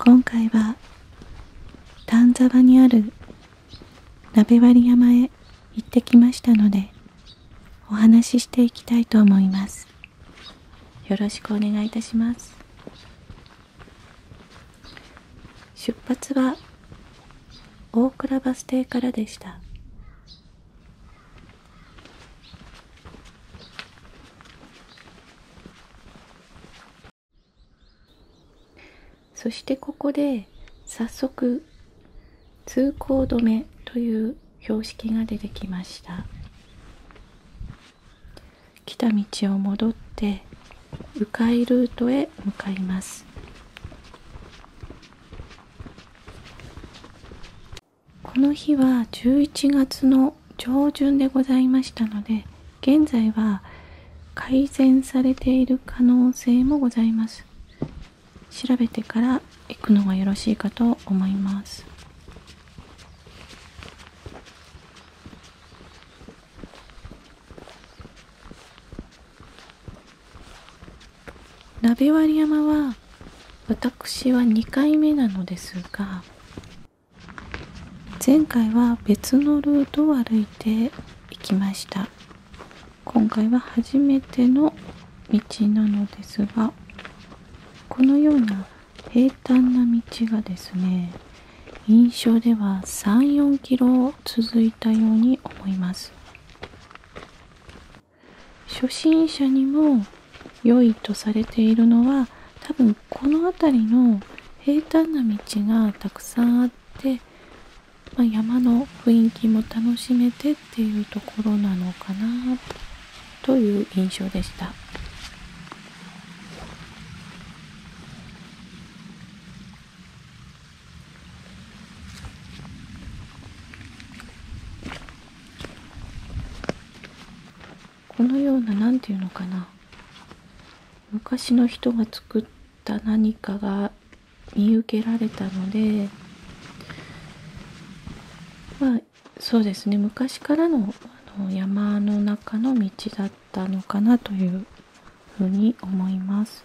今回は丹沢にある鍋割山へ行ってきましたのでお話ししていきたいと思います。よろしくお願いいたします出発は大倉バス停からでしたそしてここで早速通行止めという標識が出てきました来た道を戻って迂回ルートへ向かいますこの日は11月の上旬でございましたので現在は改善されている可能性もございます調べてから行くのがよろしいかと思います鍋割山は私は2回目なのですが前回は別のルートを歩いていきました今回は初めての道なのですがこのような平坦な道がですね印象では34キロ続いたように思います初心者にも良いとされているのは多分この辺りの平坦な道がたくさんあって、ま山の雰囲気も楽しめてっていうところなのかなという印象でした。このような何ていうのかな昔の人が作った何かが見受けられたのでまあそうですね昔からのあの山の中の道だったのかなというふうに思います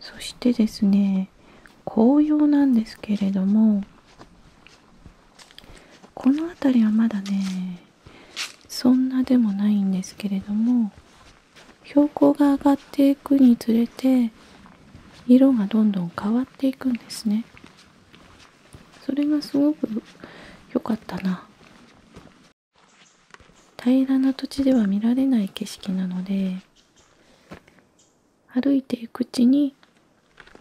そしてですね紅葉なんですけれどもこの辺りはまだねそんなでもないんですけれども標高が上がっていくにつれて色がどんどん変わっていくんですねそれがすごく良かったな平らな土地では見られない景色なので歩いていくうちに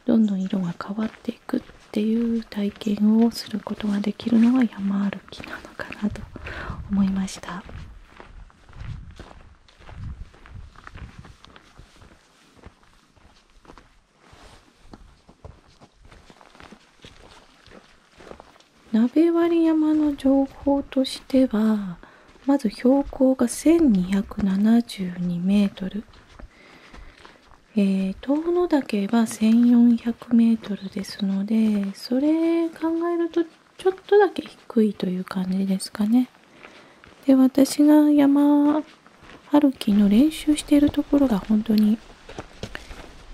どんどん色が変わっていくっていう体験をすることができるのは山歩きなのかなと思いました鍋割山の情報としてはまず標高が1272メートル、えー、遠野岳は1400メートルですのでそれ考えるとちょっとだけ低いという感じですかね。で私が山歩きの練習しているところが本当に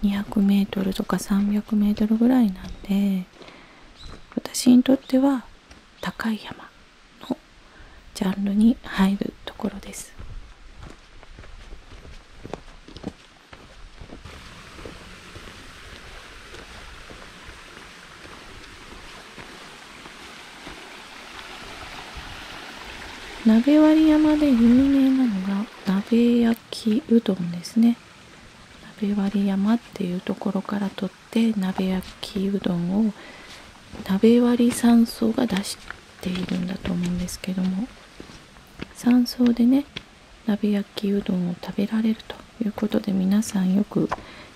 200m とか 300m ぐらいなんで私にとっては高い山のジャンルに入るところです。鍋割山で有名なのが鍋焼きうどんですね鍋割山っていうところからとって鍋焼きうどんを鍋割山荘が出しているんだと思うんですけども山荘でね鍋焼きうどんを食べられるということで皆さんよく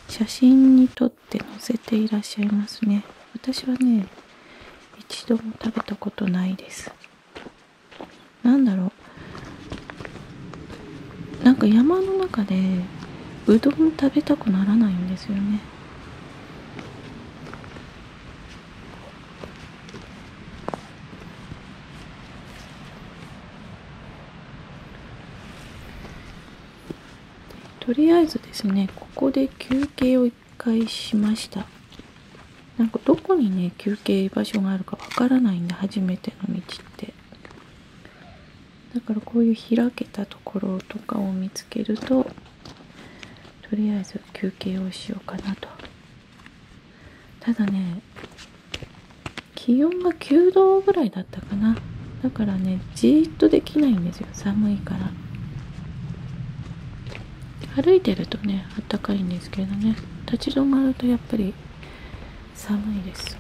写真に撮取っのせていらっしゃいますね私はね一度も食べたことないですなんだろうなんか山の中でうどん食べたくならないんですよねとりあえずですねここで休憩を1回しましたなんかどこにね休憩場所があるかわからないんで初めての道ってだからこういう開けたところとかを見つけるととりあえず休憩をしようかなとただね気温が9度ぐらいだったかなだからねじっとできないんですよ寒いから歩いてるとねあったかいんですけどね立ち止まるとやっぱり寒いです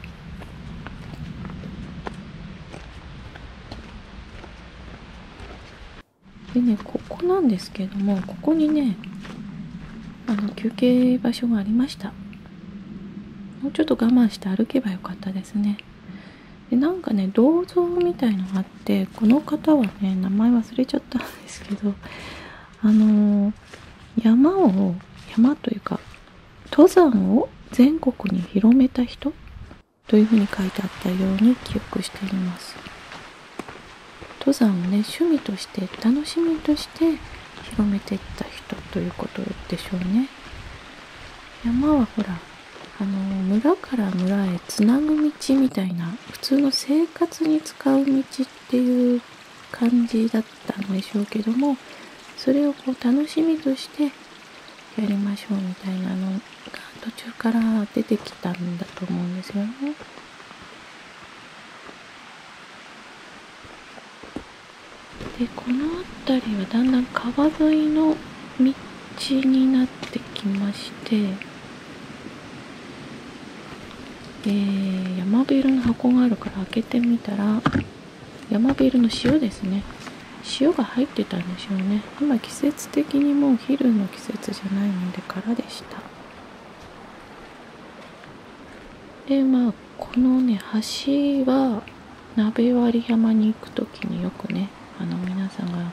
でねここなんですけどもここにねあの休憩場所がありましたもうちょっと我慢して歩けばよかったですねでなんかね銅像みたいのがあってこの方はね名前忘れちゃったんですけどあの山を山というか登山を全国に広めた人というふうに書いてあったように記憶しています登山をね趣味として楽しみとして広めていった人ということでしょうね山はほらあの村から村へつなぐ道みたいな普通の生活に使う道っていう感じだったんでしょうけどもそれをこう楽しみとしてやりましょうみたいなのが途中から出てきたんだと思うんですよね。でこの辺りはだんだん川沿いの道になってきましてえ山ビールの箱があるから開けてみたら山ビールの塩ですね塩が入ってたんでしょうねあんまり季節的にもう昼の季節じゃないので空でしたでまあこのね橋は鍋割山に行く時によくねあの皆さんが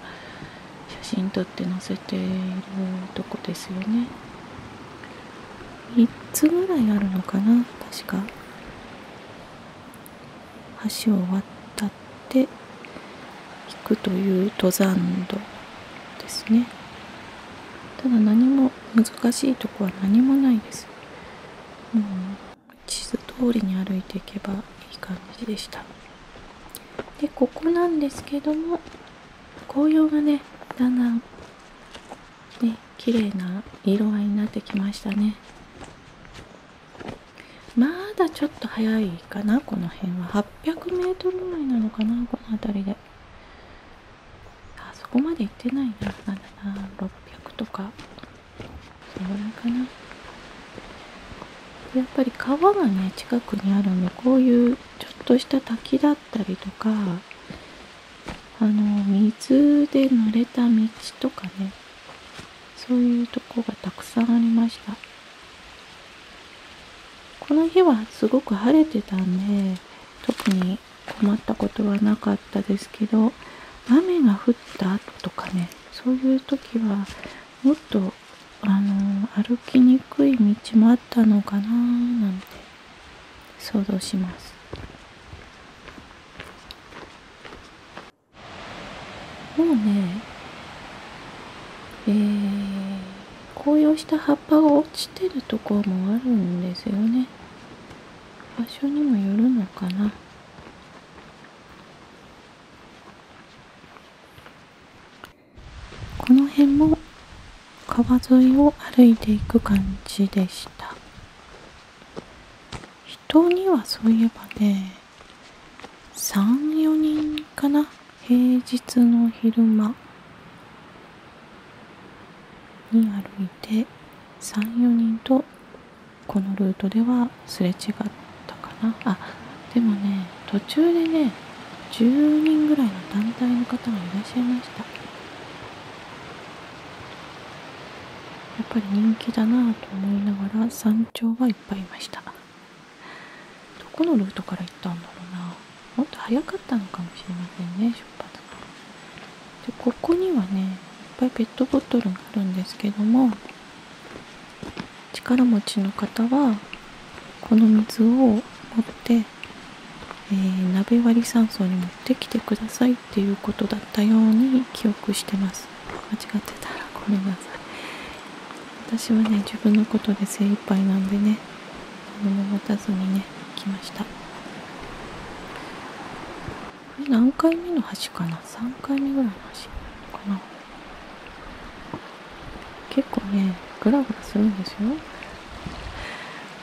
写真撮って載せているとこですよね3つぐらいあるのかな確か橋を渡って行くという登山道ですねただ何も難しいとこは何もないですうん、地図通りに歩いていけばいい感じでしたでここなんですけども紅葉がねだんだんね綺麗な色合いになってきましたねまだちょっと早いかなこの辺は 800m ぐらいなのかなこの辺りであそこまで行ってないななだな600とかそのぐらいかなやっぱり川がね近くにあるんでこういうちょっとした滝だったりとかあの水で濡れた道とかねそういうとこがたくさんありましたこの日はすごく晴れてたんで特に困ったことはなかったですけど雨が降ったとかねそういう時はもっとあの歩きにくい道もあったのかななんて想像します。もうね、え紅葉した葉っぱが落ちてるとこもあるんですよね。場所にもよるのかなこの辺も川沿いを歩いていく感じでした人にはそういえばね34人かな平日の昼間に歩いて34人とこのルートではすれ違ったかなあでもね途中でね10人ぐらいの団体の方がいらっしゃいましたやっぱり人気だなぁと思いながら山頂がいっぱいいましたどこのルートから行ったんだろうなもっと早かったのかもしれませんねでここにはねいっぱいペットボトルがあるんですけども力持ちの方はこの水を持って、え鍋割り酸素に持ってきてくださいっていうことだったように記憶してます間違ってたらごめんなさい私はね自分のことで精一杯なんでね何も持たずにね来ましたこれ何回目の橋かな3回目ぐらいの橋かな結構ねグラグラするんですよ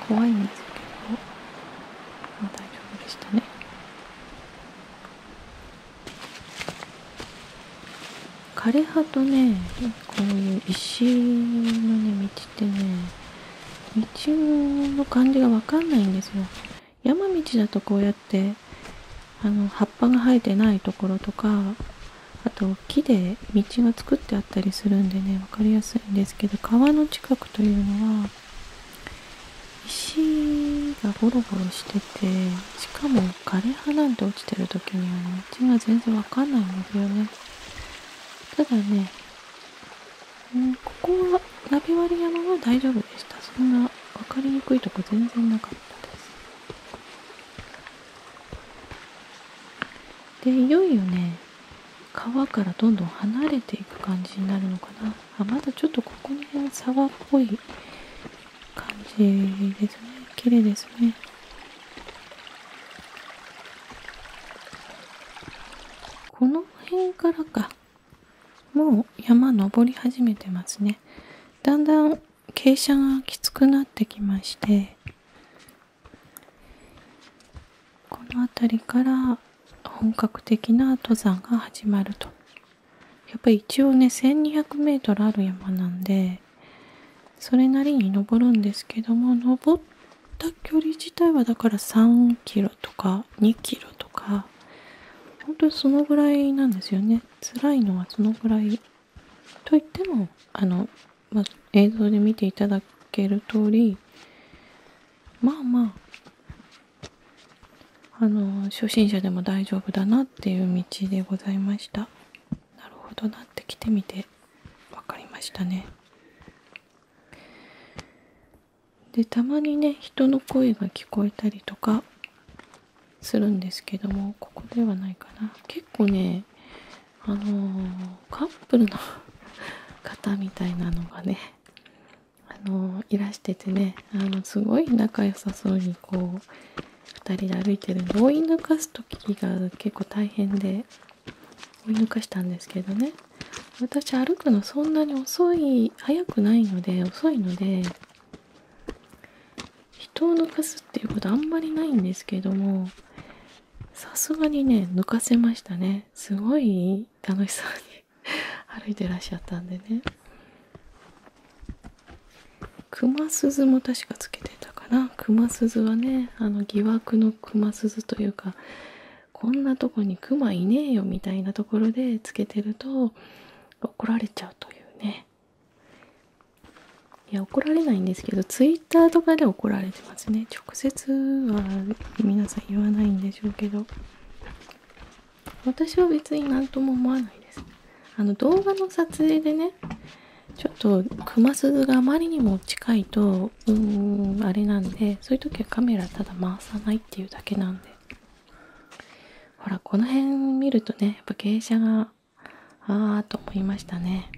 怖いんですけど、まあ、大丈夫でしたね枯葉とねこういう石のね道ってね道の感じがわかんないんですよ。山道だとこうやってあの葉っぱが生えてないところとかあと木で道が作ってあったりするんでね分かりやすいんですけど川の近くというのは石がボロボロしててしかも枯れ葉なんて落ちてる時には道が全然分かんないんですよねただねここはナビ割山は大丈夫でしたそんな分かりにくいとこ全然なかったですでいよいよね川からどんどん離れていく感じになるのかなあまだちょっとここに辺沢っぽい感じですね綺麗ですねこのの辺からかもう山登り始めてますねだんだん傾斜がきつくなってきましてこの辺りから本格的な登山が始まるとやっぱり一応ね 1200m ある山なんでそれなりに登るんですけども登った距離自体はだから3キロとか2キロとか本当にそのぐらいなんですよね辛いのはそのぐらいといってもあの、ま映像で見ていただける通りまあまああの初心者でも大丈夫だなっていう道でございましたなるほどなってきてみて分かりましたねでたまにね人の声が聞こえたりとかするんですけどもここではないかな結構ねあのカップルの 方みたいなのがねあのいらしててねあのすごい仲良さそうにこう2人で歩いてるんで抜かす時が結構大変で追い抜かしたんでね私歩くのそんなに遅い早くないので遅いので人を抜かすっていうことあんまりないんですけどもさすがにね抜かせましたねすごい楽しそうに 歩いてらっしゃったんでね熊鈴も確かつけてたかな熊鈴はねあの疑惑の熊鈴というかこんなとこにクマいねえよみたいなところでつけてると怒られちゃうというねいや怒られないんですけどツイッターとかで怒られてますね直接は皆さん言わないんでしょうけど私は別に何とも思わないですあの動画の撮影でねちょっと熊鈴があまりにも近いととうんあれなんでそういう時はカメラただ回さないっていうだけなんでほらこの辺見るとねやっぱ傾斜がああと思いましたね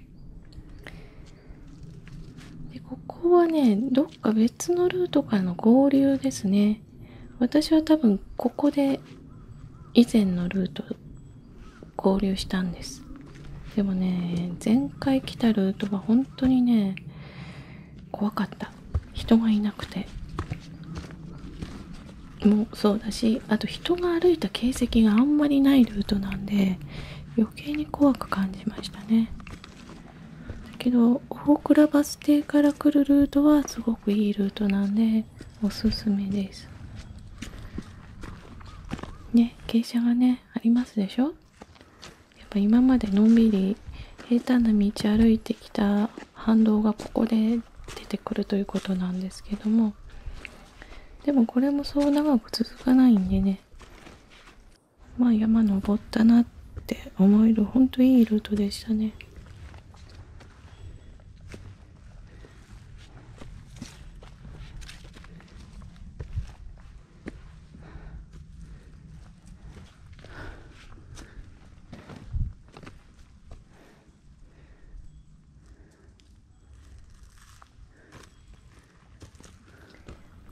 でここはねどっか別のルートからの合流ですね私は多分ここで以前のルート合流したんですでもね前回来たルートは本当にね怖かった人がいなくてもそうだしあと人が歩いた形跡があんまりないルートなんで余計に怖く感じましたねだけど大倉バス停から来るルートはすごくいいルートなんでおすすめですね傾斜がねありますでしょやっぱ今までのんびり平坦な道歩いてきた反動がここで出てくるということなんですけどもでもこれもそう長く続かないんでねまあ山登ったなって思えるほんといいルートでしたね。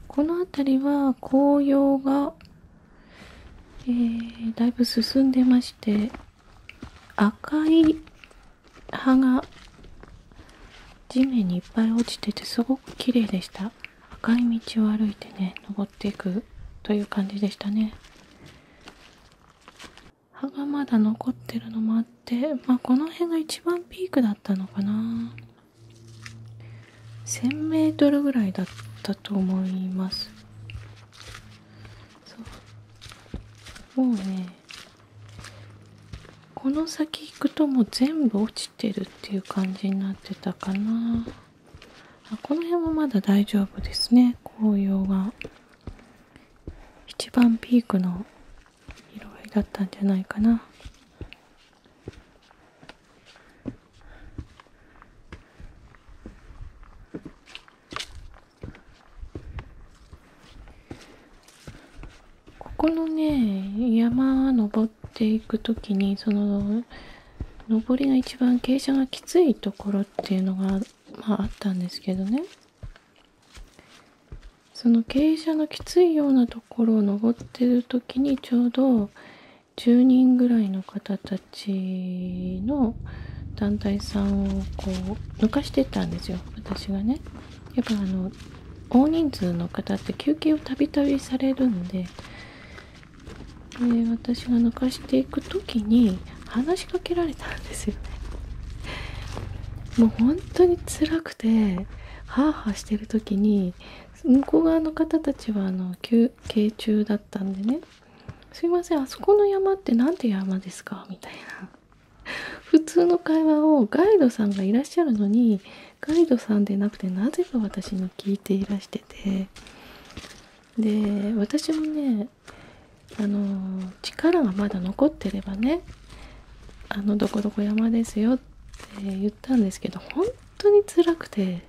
この辺りは紅葉が、だいぶ進んでまして赤い葉が地面にいっぱい落ちててすごく綺麗でした赤い道を歩いてね登っていくという感じでしたね葉がまだ残ってるのもあってまあこの辺が一番ピークだったのかな 1000m ぐらいだったと思いますそうもうねこの先行くともう全部落ちてるっていう感じになってたかなこの辺はまだ大丈夫ですね紅葉が一番ピークの色合いだったんじゃないかなここのね山登って。ていく時にその上りが一番傾斜がきついところっていうのが、まあ、あったんですけどねその傾斜のきついようなところを登ってる時にちょうど10人ぐらいの方たちの団体さんをこう抜かしてったんですよ私がね。やっぱあの大人数の方って休憩を度々されるんでで私が抜かしていく時に話しかけられたんですよね。もう本当に辛くてハーハーしてる時に向こう側の方たちはあの休憩中だったんでね「すいませんあそこの山って何て山ですか?」みたいな普通の会話をガイドさんがいらっしゃるのにガイドさんでなくてなぜか私に聞いていらしててで私もねあの力がまだ残ってればねあのどこどこ山ですよって言ったんですけど本当に辛くて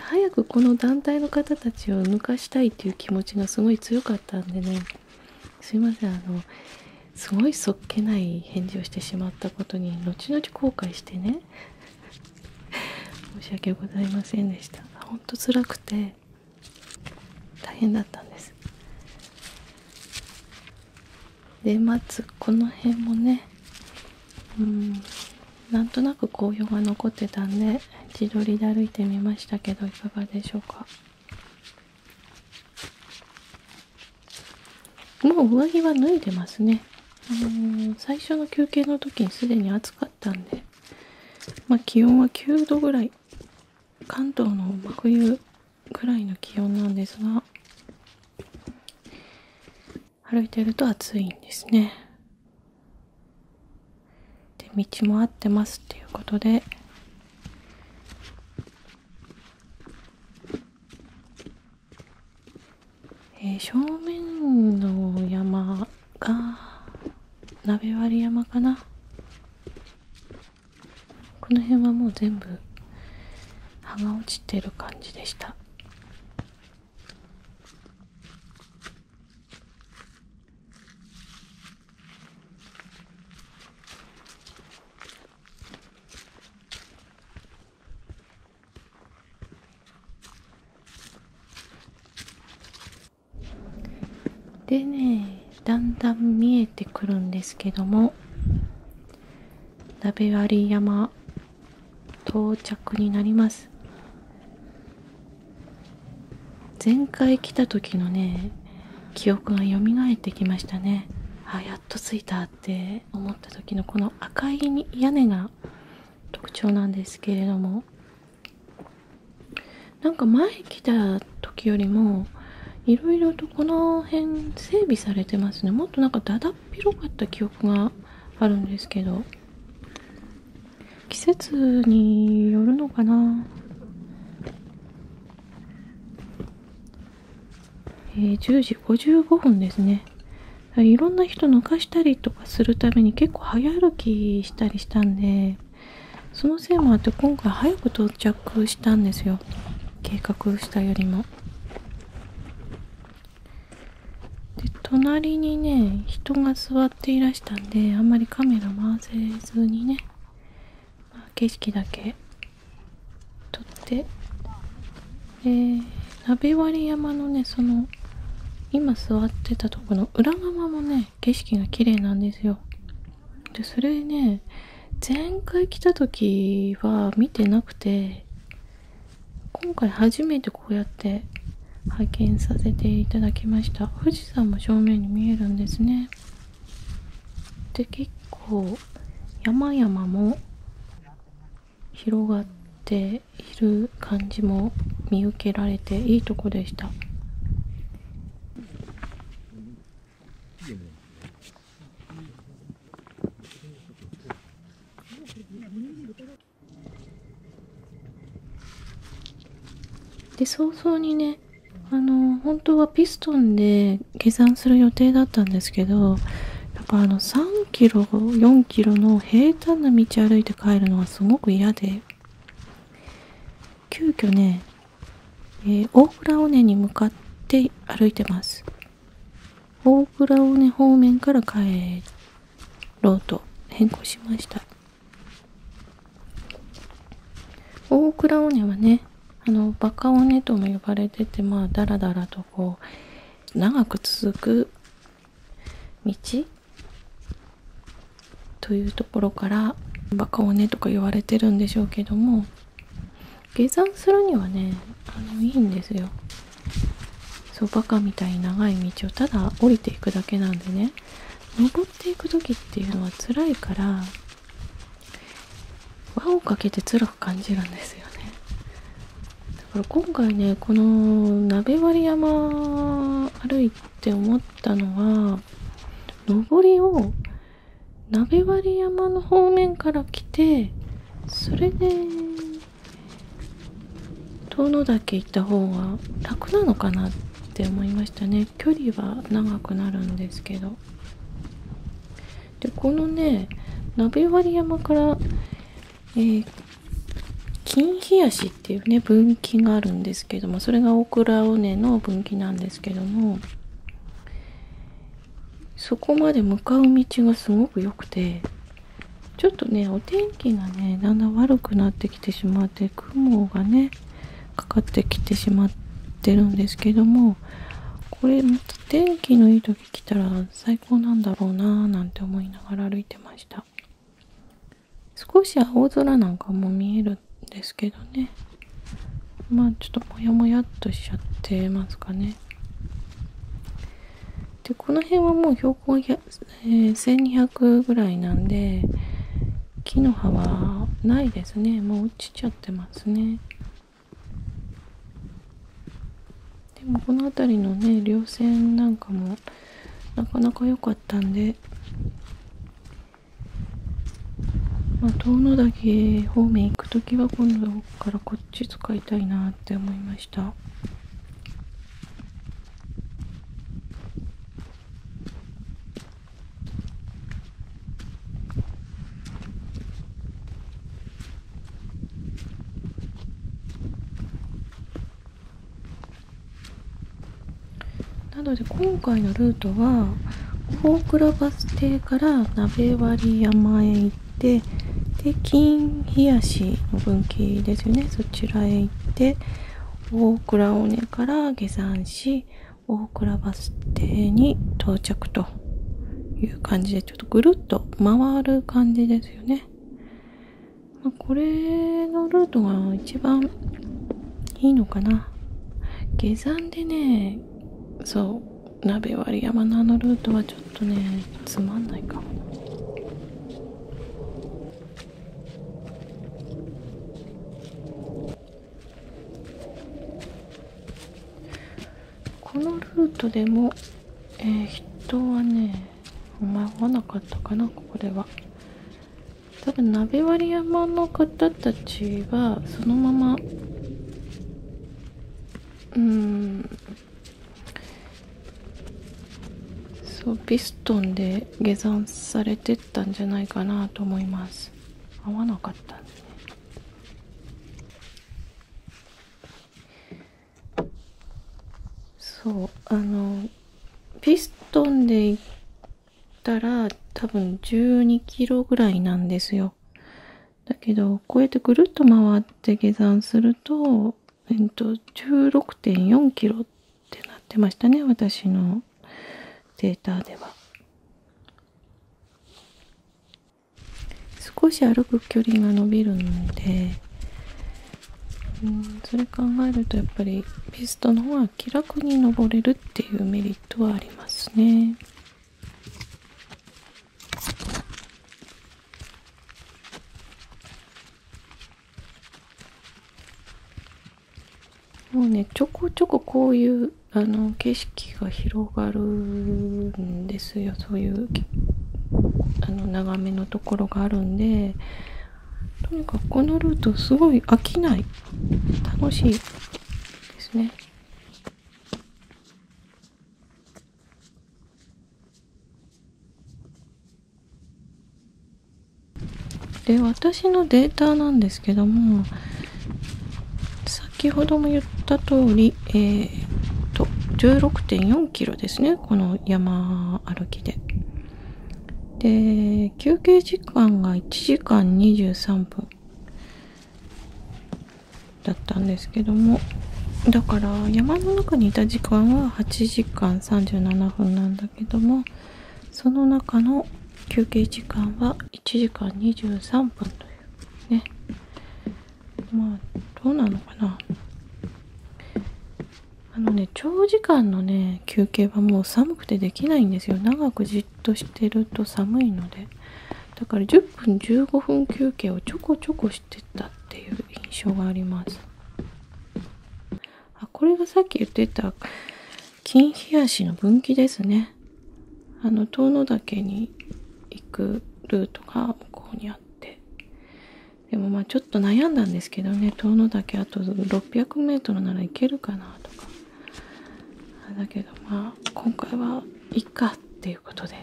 早くこの団体の方たちを抜かしたいっていう気持ちがすごい強かったんでねすいませんあのすごいそっけない返事をしてしまったことに後々後悔してね申し訳ございませんでしたほんと辛くて大変だったんですでまずこの辺もねうんなんとなく紅葉が残ってたんで自撮りで歩いてみましたけどいかがでしょうかもう上着は脱いでますね、あの最初の休憩の時にすでに暑かったんで、ま気温は9度ぐらい関東の真冬ぐらいの気温なんですが歩いてると暑いんですねで道も合ってますっていうことでえ正面の山が鍋割山かなこの辺はもう全部葉が落ちてる感じでしたでねだんだん見えてくるんですけども鍋割山到着になります前回来た時のね記憶が蘇ってきましたねあやっと着いたって。っ思った時のこの赤い屋根が特徴なんですけれどもなんか前来た時よりもいろいろとこの辺整備されてますねもっとなんかだだっ広かった記憶があるんですけど季節によるのかなえ10時55分ですねいろんな人抜かしたりとかするために結構早歩きしたりしたんでそのせいもあって今回早く到着したんですよ計画したよりもで隣にね人が座っていらしたんであんまりカメラ回せずにね景色だけ撮ってえ鍋割山のねその今座ってたとこの裏側もね景色が綺麗なんですよでそれね前回来た時は見てなくて今回初めてこうやって拝見させていただきました富士山も正面に見えるんですねで結構山々も広がっている感じも見受けられていいとこでした。で早々にねあの本当はピストンで下山する予定だったんですけどやっぱあの3キロ4キロの平坦な道歩いて帰るのはすごく嫌で急遽ね、えー、大倉尾根に向かって歩いてます大倉尾根方面から帰ろうと変更しました大倉尾根はねあのバカ骨とも呼ばれててまあだらだらとこう長く続く道というところからバカ骨とか言われてるんでしょうけども下山するにはねあのいいんですよ。そうバカみたいに長い道をただ降りていくだけなんでね登っていく時っていうのは辛いから輪をかけて辛く感じるんですよねだから今回ねこの鍋割山歩いて思ったのは上りを鍋割山の方面から来てそれで遠野岳行った方が楽なのかなって思いましたね距離は長くなるんですけどでこのね鍋割山から、え金冷やしっていうね分岐があるんですけどもそれがオクラ尾根の分岐なんですけどもそこまで向かう道がすごく良くてちょっとねお天気がねだんだん悪くなってきてしまって雲がねかかってきてしまってるんですけどもこれまた天気のいい時来たら最高なんだろうなーなんて思いながら歩いてました少し青空なんかも見えるんですけどねまあちょっとモヤモヤっとしちゃってますかねでこの辺はもう標高、え1200ぐらいなんで木の葉はないですねもう落ちちゃってますねでもこの辺りのね稜線なんかもなかなか良かったんで、ま遠野岳方面行く時は今度からこっち使いたいなって思いました。なので今回のルートは大倉バス停から鍋割山へ行ってで金冷やしの分岐ですよねそちらへ行って大倉尾根から下山し大倉バス停に到着という感じでちょっとぐるっと回る感じですよね、まこれのルートが一番いいのかな下山でねそう鍋割山のあのルートはちょっとねつまんないかもこのルートでも、え人はね迷わなかったかなここでは多分鍋割山の方たちはそのままうんそうピストンで下山されてったんじゃないかなと思います合わなかったそうあのピストンでいったら多分12キロぐらいなんですよだけどこうやってぐるっと回って下山するとえっと16.4キロってなってましたね私のデータでは少し歩く距離が伸びるのでうんそれ考えるとやっぱりピストの方が気楽に登れるっていうメリットはありますね。もうねちょこちょここういうあの景色が広がるんですよそういうあの眺めのところがあるんでとにかくこのルートすごい飽きない楽しいですね。で私のデータなんですけども先ほども言った通り、えー、と、16.4キロですね。この山歩きで。で、休憩時間が1時間23分だったんですけども、だから山の中にいた時間は8時間37分なんだけども、その中の休憩時間は1時間23分というねまあどうなのかなあのね長時間のね休憩はもう寒くてできないんですよ長くじっとしてると寒いのでだから10分15分休憩をちょこちょこしてたっていう印象がありますあこれがさっき言ってた金日足の分岐ですねあの遠野岳に行くルートが向こうにあってでもまあちょっと悩んだんですけどね遠野岳あと 600m ならいけるかなとかだけどまあ今回はいっかっていうことで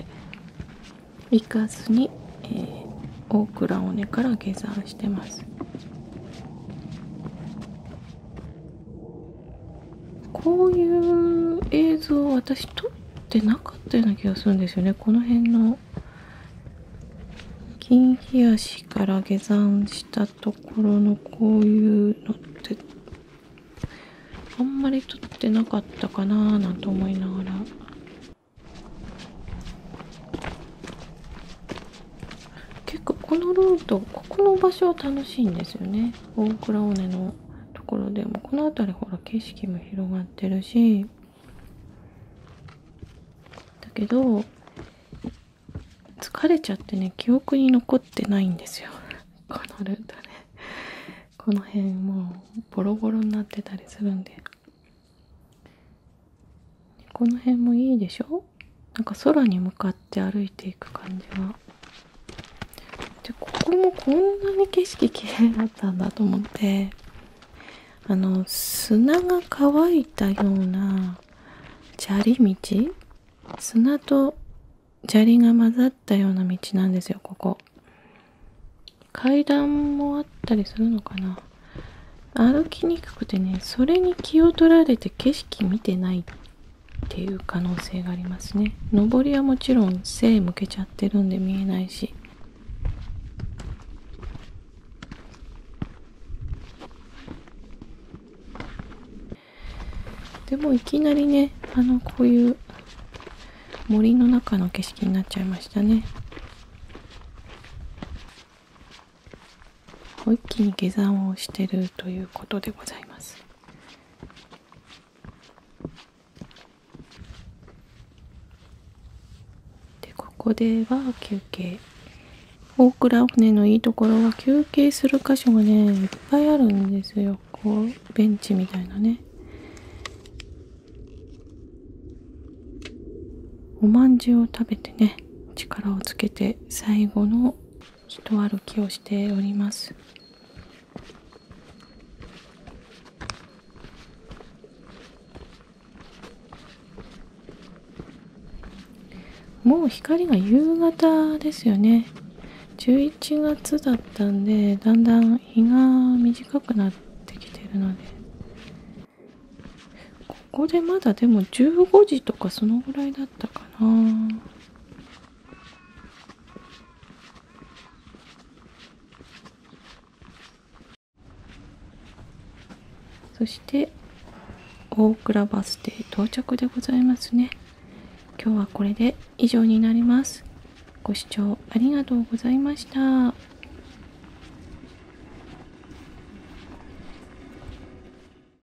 行かずに、え大倉尾根から下山してますこういう映像私撮ってなかったような気がするんですよねこの辺の金冷やしから下山したところのこういうのってあんまり撮ってなかったかなーなんて思いながら結構このルートここの場所は楽しいんですよね大蔵尾根のところでもこの辺りほら景色も広がってるしだけど疲れちゃってね記憶に残ってないんですよこのルートねこの辺もうボロボロになってたりするんでこの辺もいいでしょなんか空に向かっって歩いていく感じはでここもこんなに景色綺麗だったんだと思ってあの砂が乾いたような砂利道砂と砂利が混ざったような道なんですよここ階段もあったりするのかな歩きにくくてねそれに気を取られて景色見てないっていう可能性がありますね上りはもちろん背向けちゃってるんで見えないしでもいきなりねあのこういう森の中の景色になっちゃいましたね一気に下山をしてるということでございますでここでは休憩大倉船のいいところは休憩する箇所がねいっぱいあるんですよこうベンチみたいなねおまんじゅうを食べてね力をつけて最後の人歩きをしておりますもう光が夕方ですよね11月だったんでだんだん日が短くなってきてるのでここでまだでも15時とかそのぐらいだったかなそして大倉バス停到着でございますね今日はこれで以上になりますご視聴ありがとうございました